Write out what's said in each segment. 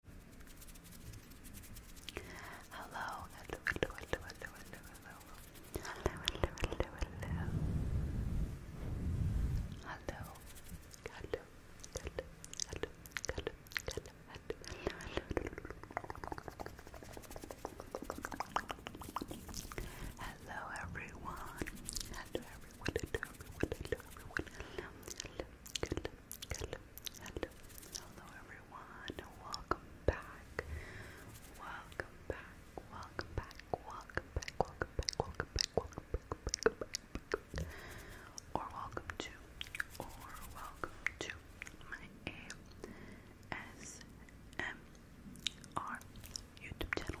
Hello, hello, hello, hello, hello, hello, hello, hello, hello, hello, hello, hello, hello, hello, hello, hello, hello, hello, everyone, hello, everyone, hello, everyone, hello, everyone, hello, hello, hello, Hello, hello everyone. Welcome back. Welcome back. Welcome back. Welcome back. Welcome back. Welcome back. Welcome back. Welcome back. Or welcome to, or welcome to my ASMR YouTube channel.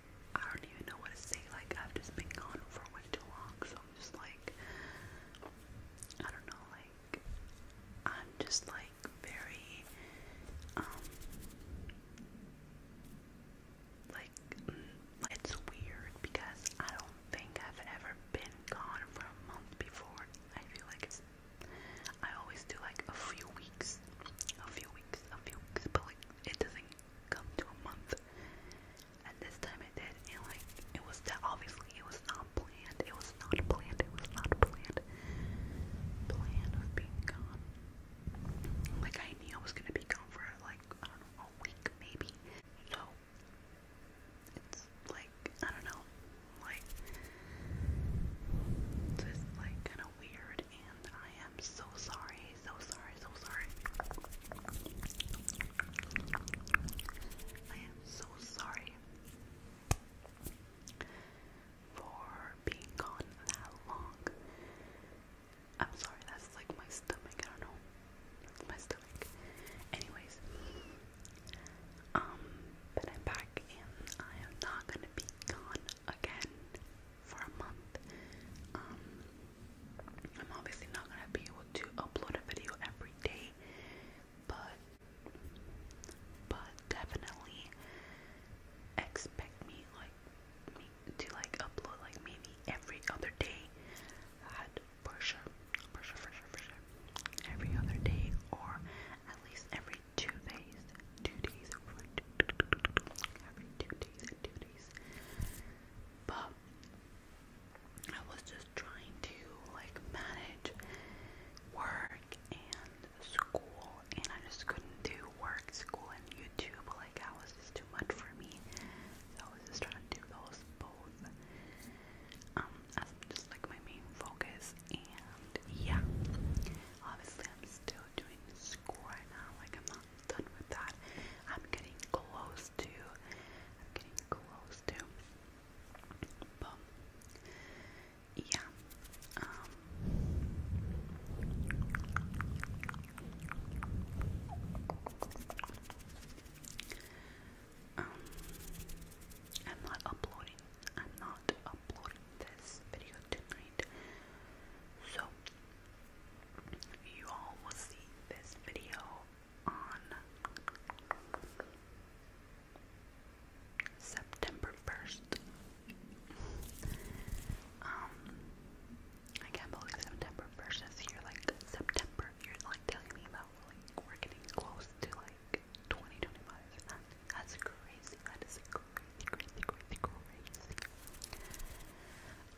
I don't even know what to say. Like, I've just been gone for way too long, so I'm just like, I don't know, like, I'm just like very, um, like, mm, it's weird because I don't think I've ever been gone for a month before. I feel like it's, I always do like a few weeks a few weeks, a few weeks, but like it doesn't come to a month. And this time it did, and like it was obviously it was not planned. It was not planned. It was not planned. Plan of being gone. Like I knew I was gonna be gone for like I don't know a week maybe. So it's like I don't know, like just like kind of weird, and I am so sorry, so sorry, so sorry. I am so sorry for being gone that long. I'm sorry, that's like my stomach. I don't know. my stomach. Anyways, um, but I'm back and I am not gonna be gone again for a month. Um, I'm obviously not gonna be able to upload a video every day, but but definitely expect me like me to like upload like maybe every other day. That for sure, for sure, for sure, for sure. Every other day, or at least every two days, two days, every two days, two days. But I was just trying to like manage work and school, and I just couldn't do work, school, and YouTube. Like that was just too much for me. I was just trying to do those both. Um, as just like my main focus, and yeah. Obviously, I'm still doing school right now. Like, I'm not done with that. I'm getting close to. I'm getting close to. But yeah. Um. um I'm not uploading I'm not uploading this video tonight, so you all will see this video on September 1st. Um, I can't believe September 1st is here. Like, September, you're like telling me that like, we're getting close to like 2025. That's crazy. That is crazy, crazy, crazy, crazy.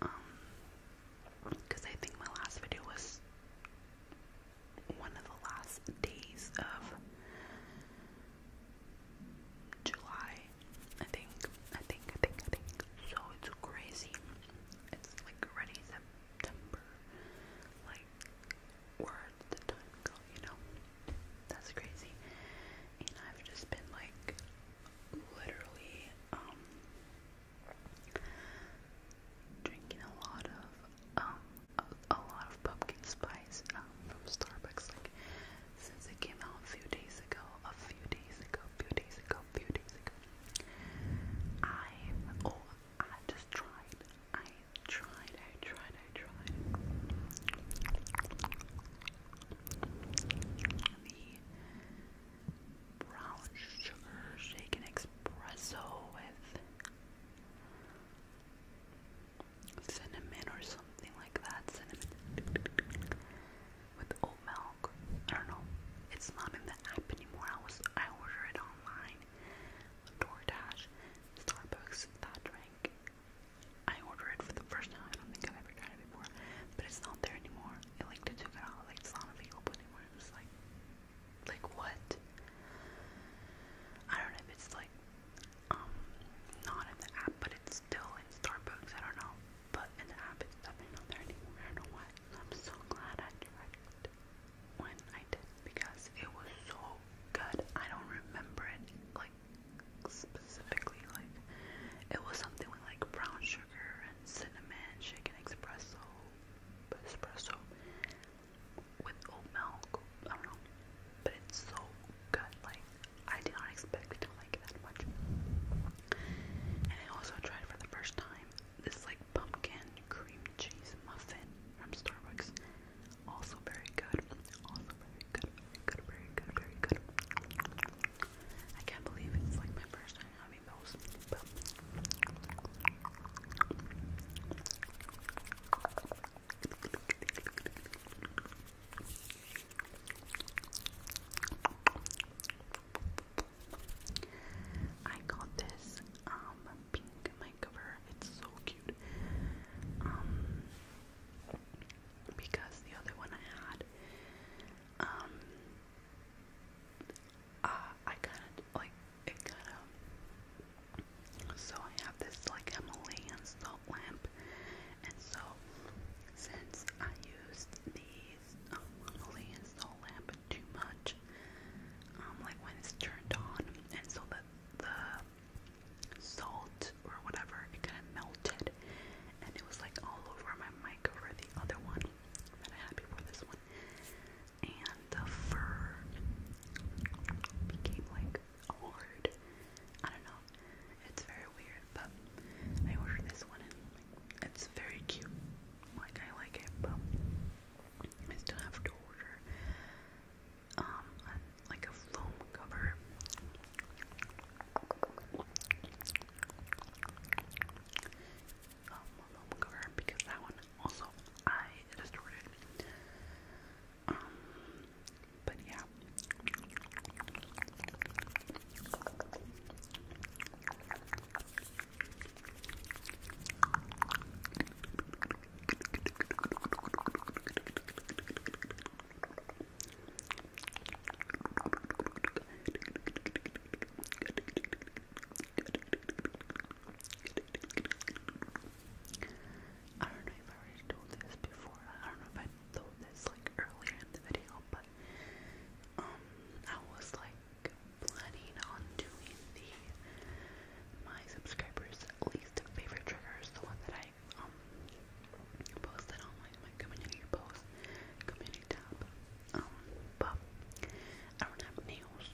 Um, because I think my last video was one of the last days of July. I think, I think, I think, I think. So it's crazy. It's like already September. Like words the time ago, you know? That's crazy. And I've just been like literally um drinking a lot of um a, a lot of pumpkin spice um from Starbucks like since it came out a few days ago, a few days ago, a few days ago, a few days ago. I oh I just tried I tried, I tried, I tried. The brown sugar shaken espresso with cinnamon or something like that. Cinnamon with oat milk. I don't know. It's not in the app anymore. I was I order it online. DoorDash Starbucks, that drink. I ordered it for the first time. I don't think I've ever tried it before, but it's not there anymore. It like they took it out. Like it's not available anymore. It like, like what? I don't know it's like, um, not in the app, but it's still in Starbucks. I don't know, but in the app, it's definitely not there anymore. I don't know why. I'm so glad I tried when I did because it was so good. I don't remember it like specifically like it was something with like brown sugar and cinnamon, shaken espresso, espresso with oat milk. I don't know, but it's so good. Like I did not expect to like as much. And I also tried for the first time this like pumpkin cream cheese muffin from Starbucks. Also very good. Also very good. good. Very good. Very good. I can't believe it's like my first time having those. I got this um pink mic cover. It's so cute. Um, because the other one I had, um, uh, I kind of like it, kind of. So I have this like Himalayan salt lamp, and so since I used these um, Himalayan salt lamp too much, um, like when it's turned on, and so that the salt or whatever it kind of melted, and it was like all over my mic over the other one that I had before this one, and the fur became like hard. I don't know. It's very weird, but I ordered this one and it's very cute. Like I like it, but I still have to order um like a foam cover. Um, foam cover because that one also I just ordered. Um, but yeah. I don't know if I already told this before. I don't know if I told this like earlier in the video, but um, I was like planning on doing the my subscribers least favorite triggers, the one that I um, posted on my, my community post community tab. Um but I don't have nails.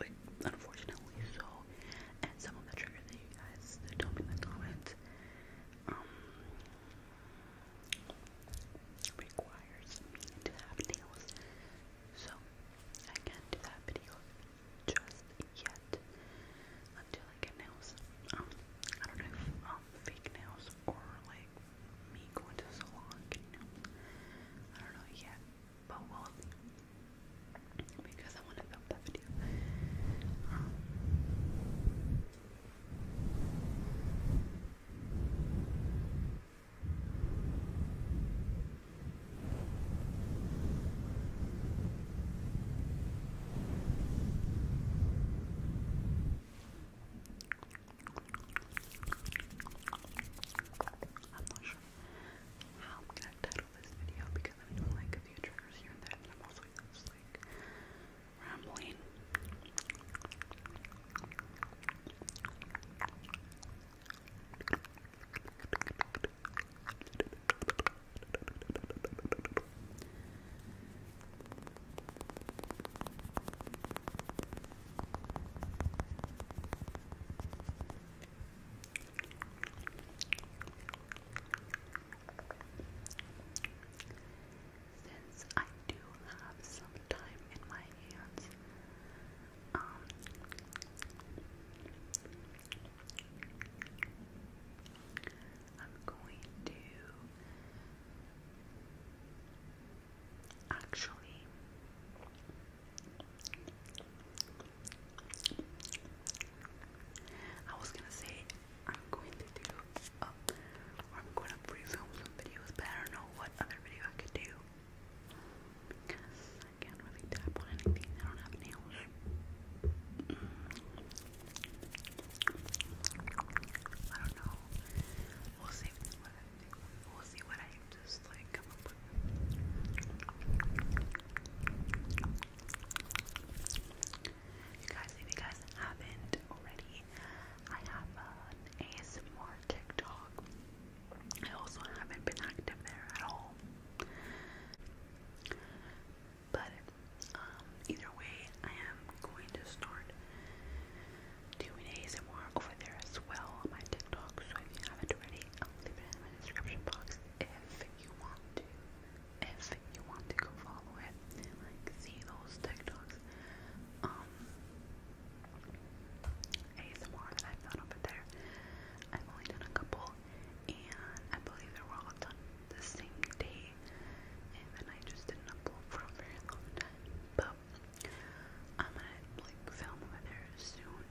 Like unfortunately so and some of the triggers that you guys told me in the comments um requires me to have nails. So I can't do that video just yet until I get nails. Um, I don't know if um, fake nails or like me going to salon I don't know yet, but we'll because I want to film that video. Um, I'm not sure how I'm gonna title this video because I'm doing like a few triggers here and there, and I'm also just like rambling. Since I do have some time in my um, I'm going to actually. I was gonna say I'm going to do, I'm gonna pre-film videos, but I don't know what other video I could do I can't really tap on anything. I don't have nails. I don't know. We'll see We'll see what I just like come up with. You guys, if you guys haven't already, I have an ASMR TikTok. I also haven't been active there at all. But um, either way, I am going to start doing ASMR over there as well on my TikTok. So if you haven't already, I'll leave it in my description box if you want to. If you want to go follow it and like see those TikTok um, ASMR that I've done over there. I've only done a couple, and I believe they were all done the same day, and then I just didn't upload for a very long time. But I'm gonna like film over there soon.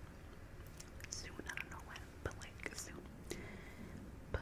Soon, I don't know when, but like soon. But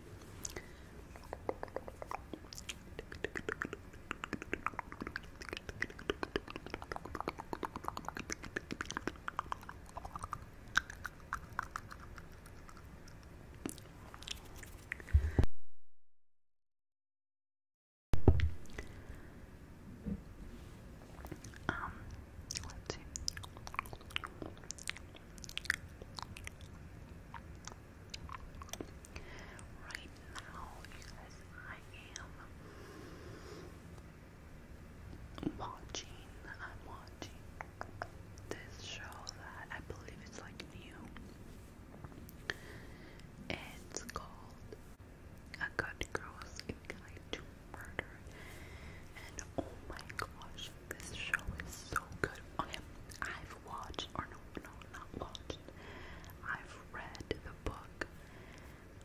Um, let's see. Right now, guys, I am watching, I'm watching this show that I believe it's like new. It's called A Good Girls Inclined to Murder. And oh my gosh, this show is so good. Okay, I've watched, or no, no, not watched. I've read the book.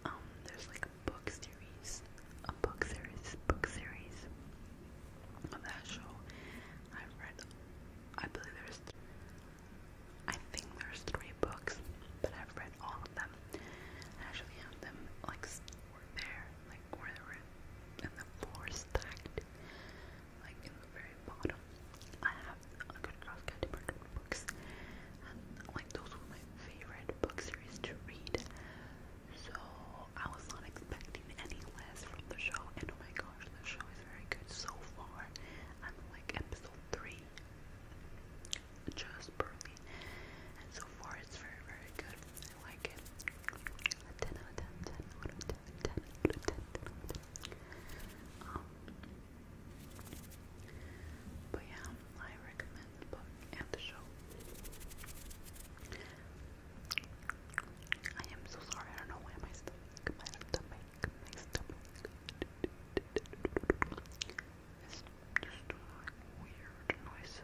Um, there's like a book series, a book series, book series of that show. I've read, I believe there's, I think there's three books, but I've read all of them. I actually have them like stored there like where the floor stacked, like in the very bottom. I have a good girls books, and like those were my favorite book series to read. So I was not expecting any less from the show, and oh my gosh, the show is very good so far. i like episode three, just barely, and so far it's very very good. I like it. A 10 out of 10, 10 out of 10, 10 out of 10, 10 out of 10. Um, but yeah, I recommend the book and the show. I am so sorry, I don't know why my stomach, my stomach, my stomach is just doing like weird noises.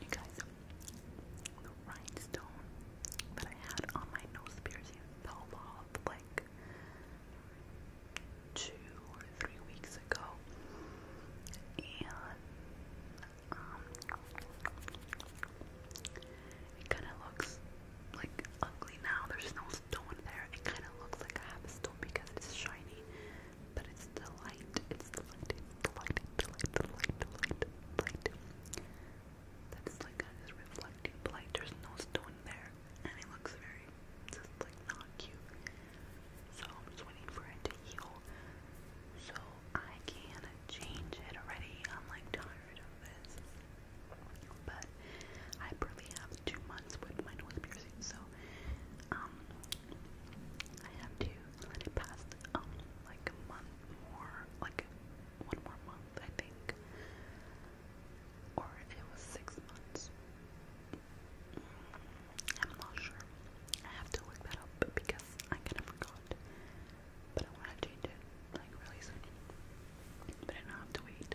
You guys, the rhinestone that I had on my nose piercing fell off like two or three weeks ago. And, um, it kind of looks like ugly now. There's no stone there. It kind of looks like I have a stone because it's shiny but it's the light, it's the light, it's the light, it's the light, the light, the light, the light. That's like a just reflecting light. There's no stone there, and it looks very just like not cute. So I'm just waiting for it to heal, so I can change it already. I'm like tired of this, but I probably have two months with my nose piercing, so um, I have to let it pass, um, like a month more, like one more month, I think, or it was six months. I'm not sure. I have to look that up because I kind of forgot. But I want to change it like really soon. But I don't have to wait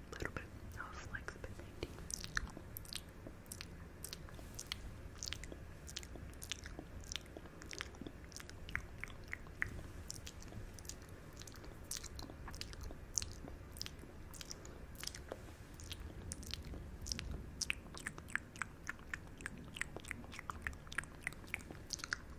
a little bit of flexibility. Okay.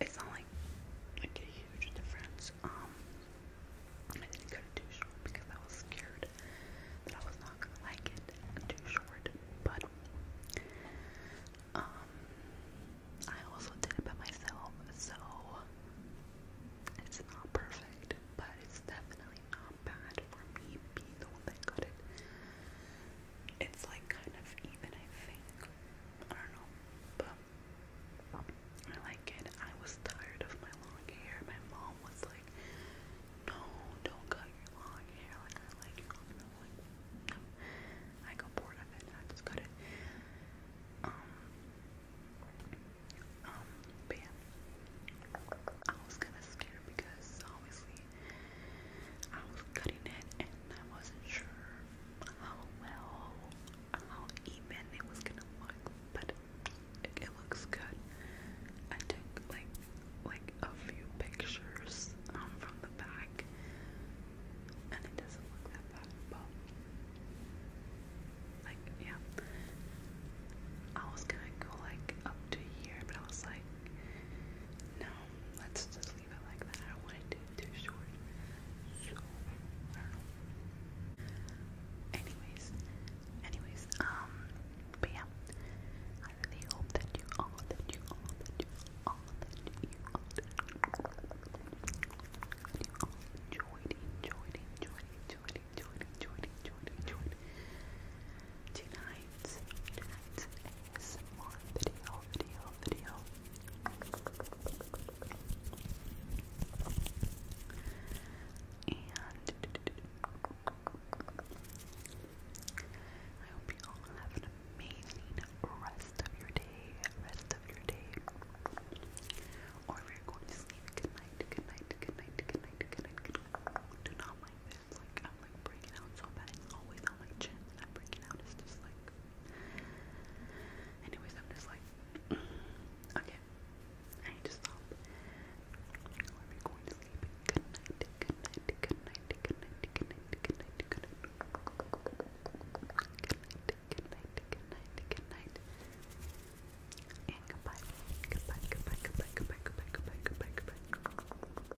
It's not like like a huge difference. Um, I didn't cut it too short because I was scared that I was not gonna like it too short. But um, I also did it by myself, so it's not perfect, but it's definitely not bad for me being the one that cut it it's like kind of even, I think. I don't know, but I like it. I was tired of my long hair. My mom was like, "No, don't cut your long hair. Like I like your long Like, I got bored of it. I just cut it. Um, um, but yeah. I was kind of scared because obviously I was cutting it and I wasn't sure how well, how even it was gonna look, but it, looks good. I took like like a few pictures um, from the back, and it doesn't look that bad, but like yeah, I was gonna go like up to here, but I was like, no, let's just leave it like that. I don't want to be too short. So, I don't know. Anyways, anyways, um, yeah, I really hope that you all, that you all, that you all, that you all, that you all enjoyed, enjoyed, enjoyed, enjoyed, enjoyed, enjoyed, enjoyed, enjoyed, enjoyed tonight tonight's, And I hope you all have an amazing rest of your day, rest of your day. Or if you're going to sleep, good night, good night, good night, good night, good night, good night. Do not it's like I'm like breaking out so bad. It's always on my chin and I'm breaking out. It's just like. Anyways, I'm just like. okay. I need to stop. Are we going to sleep? Good night. Good night. Good night. Good night. Good night. Good night. Good night. Good night. Good night. Good night. And goodbye. Goodbye. Goodbye. Goodbye. Goodbye. Goodbye. Goodbye. Goodbye. Goodbye.